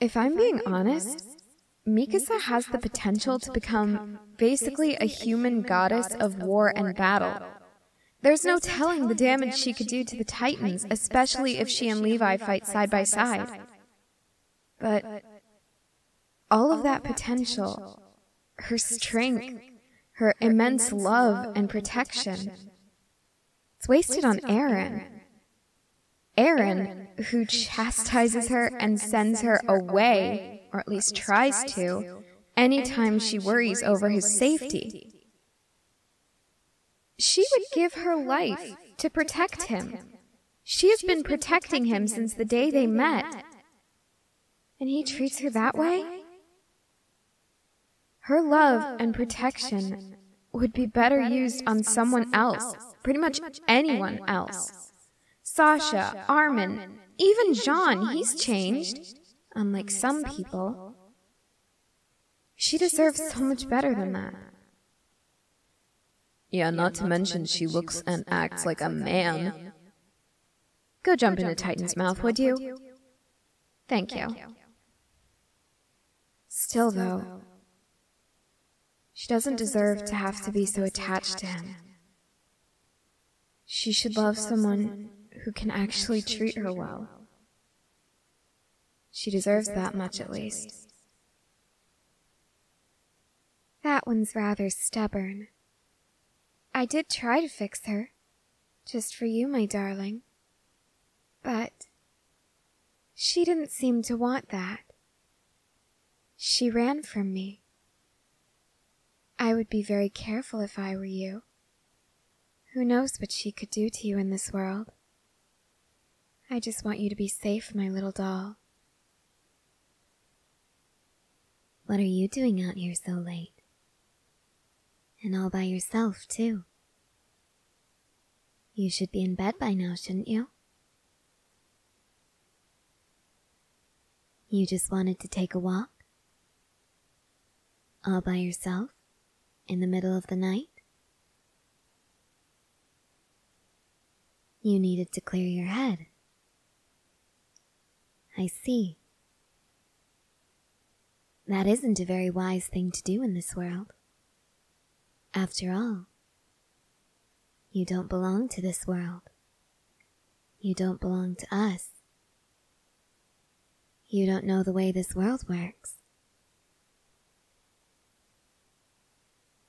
If I'm being honest, Mikasa has the potential to become basically a human goddess of war and battle. There's no telling the damage she could do to the Titans, especially if she and Levi fight side by side. But all of that potential, her strength, her immense love and protection, it's wasted on Aaron. Aaron, who chastises her and sends her away, or at least tries to, anytime she worries over his safety. She would give her life to protect him. She has been protecting him since the day they met. And he treats her that way? Her love and protection would be better used on someone else, pretty much anyone else. Sasha, Armin, even John, he's changed, unlike some people. She deserves so much better than that. Yeah, not to mention she looks and acts like a man. Go jump into Titan's mouth, would you? Thank you. Still, though, she doesn't deserve to have to be so attached to him. She should love someone who can actually treat her well. She deserves that much at least. That one's rather stubborn. I did try to fix her, just for you, my darling. But she didn't seem to want that. She ran from me. I would be very careful if I were you. Who knows what she could do to you in this world? I just want you to be safe, my little doll. What are you doing out here so late? And all by yourself, too. You should be in bed by now, shouldn't you? You just wanted to take a walk? All by yourself? In the middle of the night? You needed to clear your head. I see. That isn't a very wise thing to do in this world. After all, you don't belong to this world. You don't belong to us. You don't know the way this world works.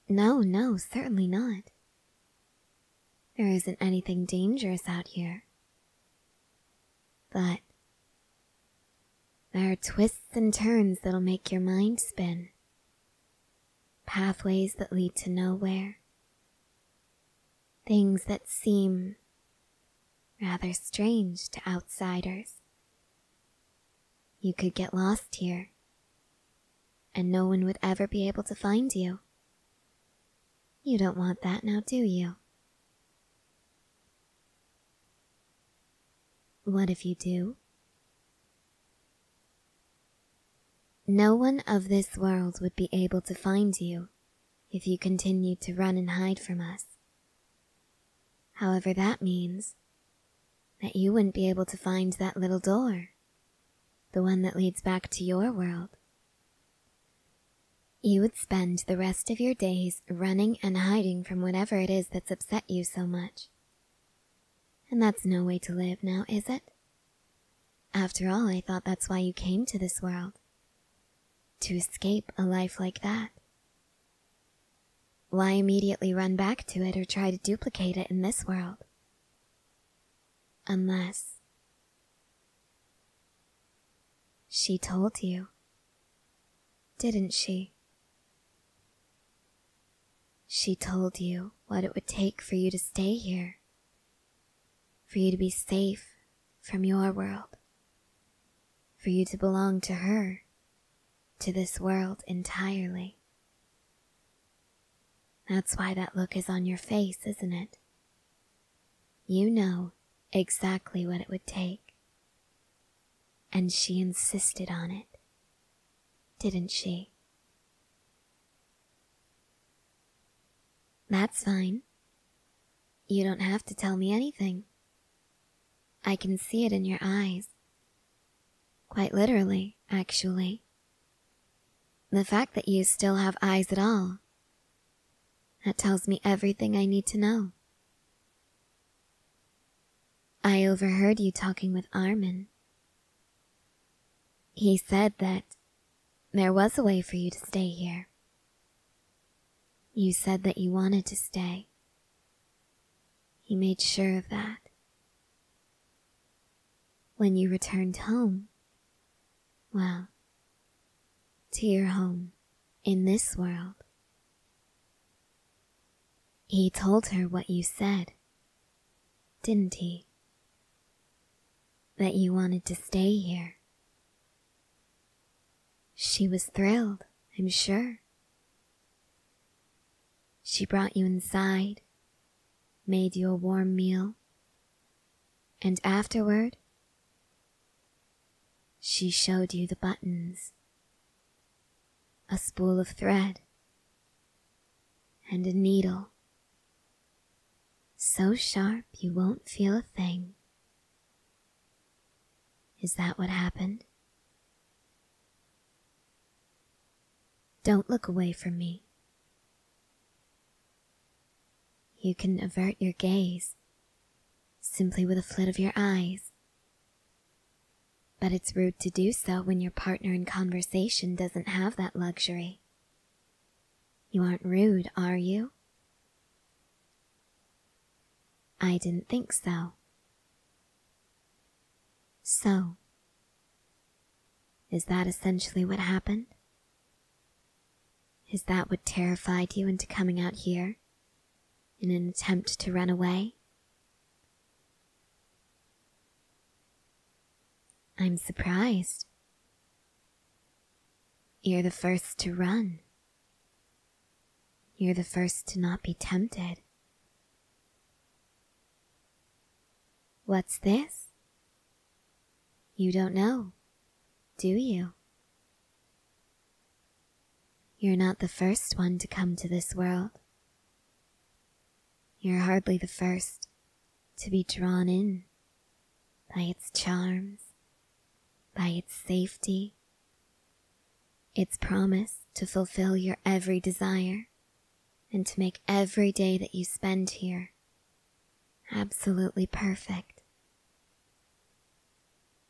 No, no, certainly not. There isn't anything dangerous out here. But there are twists and turns that'll make your mind spin pathways that lead to nowhere, things that seem rather strange to outsiders. You could get lost here, and no one would ever be able to find you. You don't want that now, do you? What if you do? No one of this world would be able to find you if you continued to run and hide from us. However, that means that you wouldn't be able to find that little door, the one that leads back to your world. You would spend the rest of your days running and hiding from whatever it is that's upset you so much. And that's no way to live now, is it? After all, I thought that's why you came to this world. To escape a life like that. Why immediately run back to it or try to duplicate it in this world? Unless... She told you, didn't she? She told you what it would take for you to stay here, for you to be safe from your world, for you to belong to her, to this world entirely. That's why that look is on your face, isn't it? You know exactly what it would take. And she insisted on it didn't she? That's fine. You don't have to tell me anything. I can see it in your eyes. Quite literally, actually. The fact that you still have eyes at all. That tells me everything I need to know. I overheard you talking with Armin. He said that there was a way for you to stay here. You said that you wanted to stay. He made sure of that. When you returned home, well, to your home in this world. He told her what you said didn't he? That you wanted to stay here. She was thrilled, I'm sure. She brought you inside, made you a warm meal, and afterward, she showed you the buttons a spool of thread, and a needle so sharp you won't feel a thing. Is that what happened? Don't look away from me. You can avert your gaze simply with a flit of your eyes. But it's rude to do so when your partner in conversation doesn't have that luxury. You aren't rude, are you? I didn't think so. So, is that essentially what happened? Is that what terrified you into coming out here in an attempt to run away? I'm surprised. You're the first to run. You're the first to not be tempted. What's this? You don't know, do you? You're not the first one to come to this world. You're hardly the first to be drawn in by its charms, by its safety, its promise to fulfill your every desire and to make every day that you spend here absolutely perfect.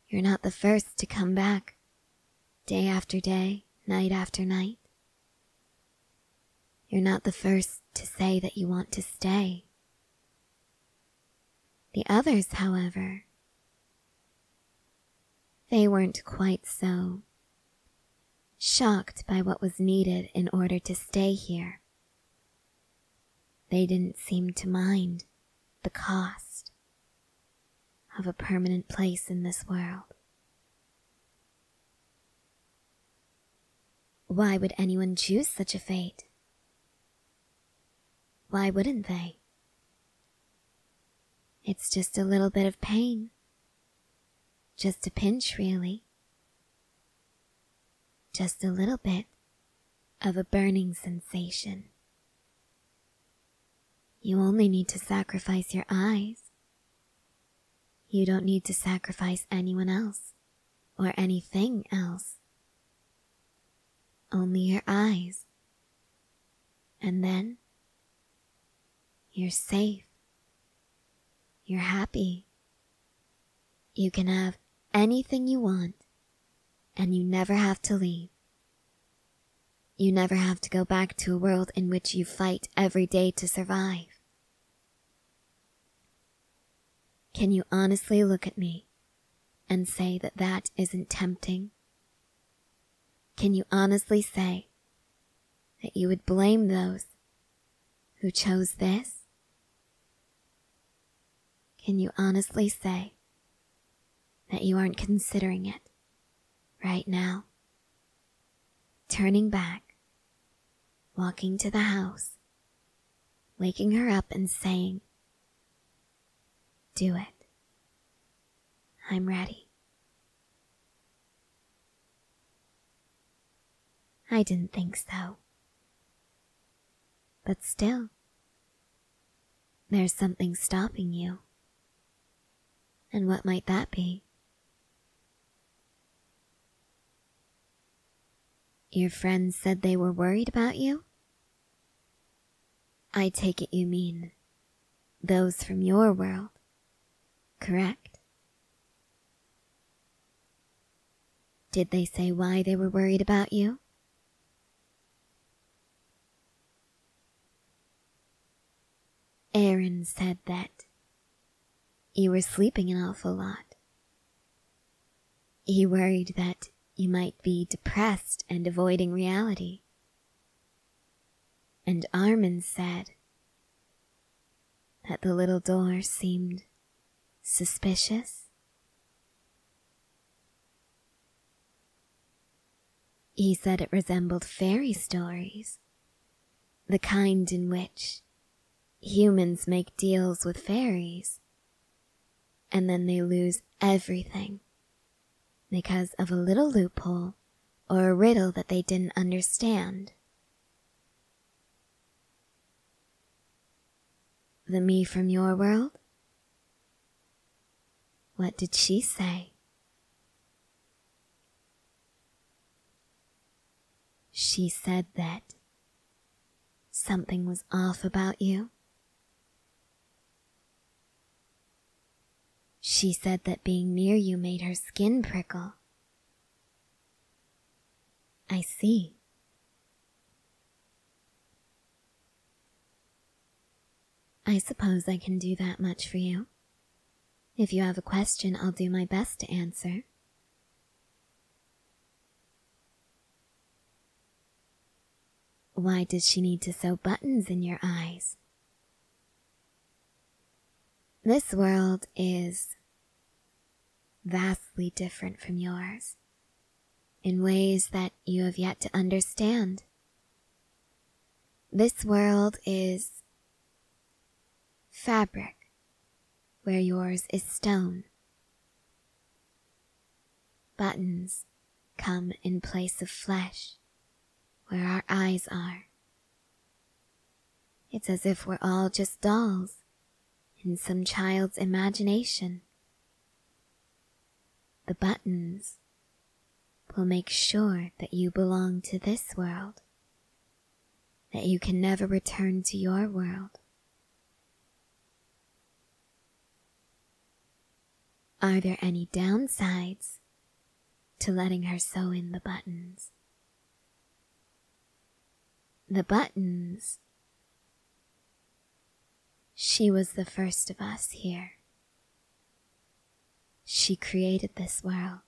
You're not the first to come back day after day, night after night. You're not the first to say that you want to stay. The others, however, they weren't quite so shocked by what was needed in order to stay here. They didn't seem to mind the cost of a permanent place in this world. Why would anyone choose such a fate? Why wouldn't they? It's just a little bit of pain. Just a pinch, really. Just a little bit of a burning sensation. You only need to sacrifice your eyes, you don't need to sacrifice anyone else or anything else. Only your eyes. And then you're safe. You're happy. You can have anything you want and you never have to leave. You never have to go back to a world in which you fight every day to survive. Can you honestly look at me and say that that isn't tempting? Can you honestly say that you would blame those who chose this? Can you honestly say that you aren't considering it right now? Turning back, walking to the house, waking her up and saying, Do it. I'm ready. I didn't think so. But still, there's something stopping you. And what might that be? Your friends said they were worried about you? I take it you mean those from your world, correct? Did they say why they were worried about you? Aaron said that you were sleeping an awful lot. He worried that you might be depressed and avoiding reality. And Armin said that the little door seemed suspicious. He said it resembled fairy stories the kind in which humans make deals with fairies and then they lose everything because of a little loophole or a riddle that they didn't understand. The me from your world? What did she say? She said that something was off about you. She said that being near you made her skin prickle. I see. I suppose I can do that much for you. If you have a question, I'll do my best to answer. Why does she need to sew buttons in your eyes? This world is vastly different from yours in ways that you have yet to understand. This world is fabric where yours is stone. Buttons come in place of flesh, where our eyes are. It's as if we're all just dolls in some child's imagination. The buttons will make sure that you belong to this world that you can never return to your world. Are there any downsides to letting her sew in the buttons? The buttons. She was the first of us here. She created this world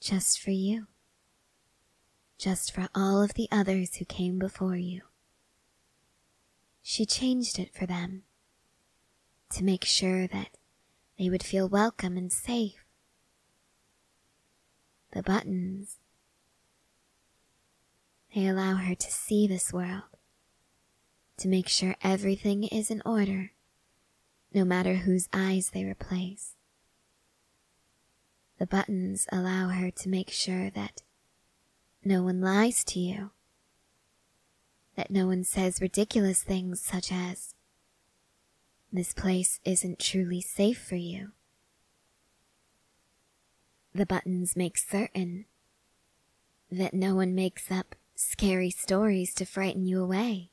just for you just for all of the others who came before you. She changed it for them to make sure that they would feel welcome and safe. The buttons, they allow her to see this world, to make sure everything is in order, no matter whose eyes they replace. The buttons allow her to make sure that no one lies to you, that no one says ridiculous things such as, This place isn't truly safe for you. The buttons make certain that no one makes up scary stories to frighten you away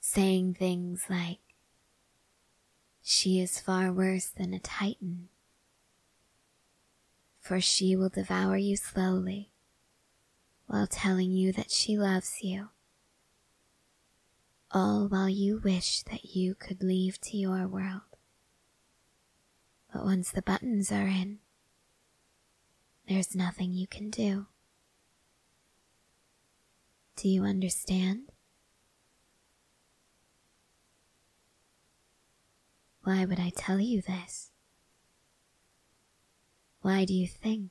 saying things like, She is far worse than a titan, for she will devour you slowly while telling you that she loves you, all while you wish that you could leave to your world. But once the buttons are in, there's nothing you can do. Do you understand? Why would I tell you this? Why do you think?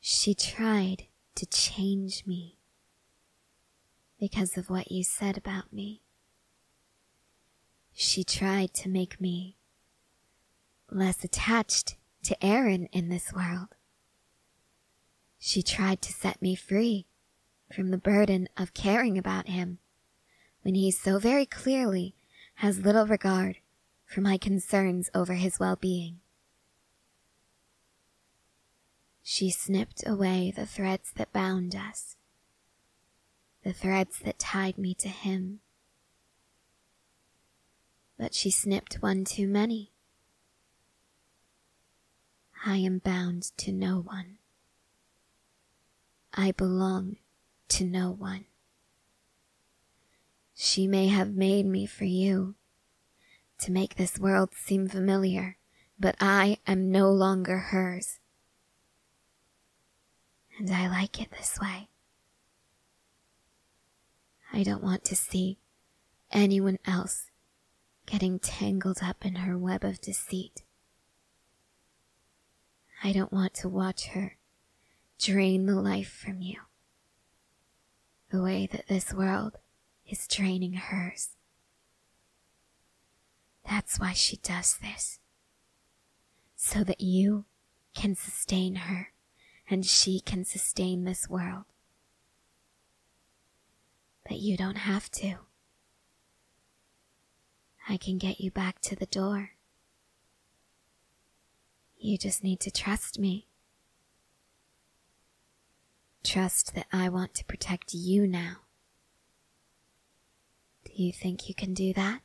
She tried to change me because of what you said about me. She tried to make me less attached to Aaron in this world. She tried to set me free from the burden of caring about him when he so very clearly has little regard for my concerns over his well-being. She snipped away the threads that bound us, the threads that tied me to him, but she snipped one too many. I am bound to no one. I belong to no one. She may have made me for you, to make this world seem familiar, but I am no longer hers. And I like it this way. I don't want to see anyone else getting tangled up in her web of deceit. I don't want to watch her drain the life from you the way that this world is draining hers. That's why she does this, so that you can sustain her and she can sustain this world. But you don't have to. I can get you back to the door. You just need to trust me. Trust that I want to protect you now. Do you think you can do that?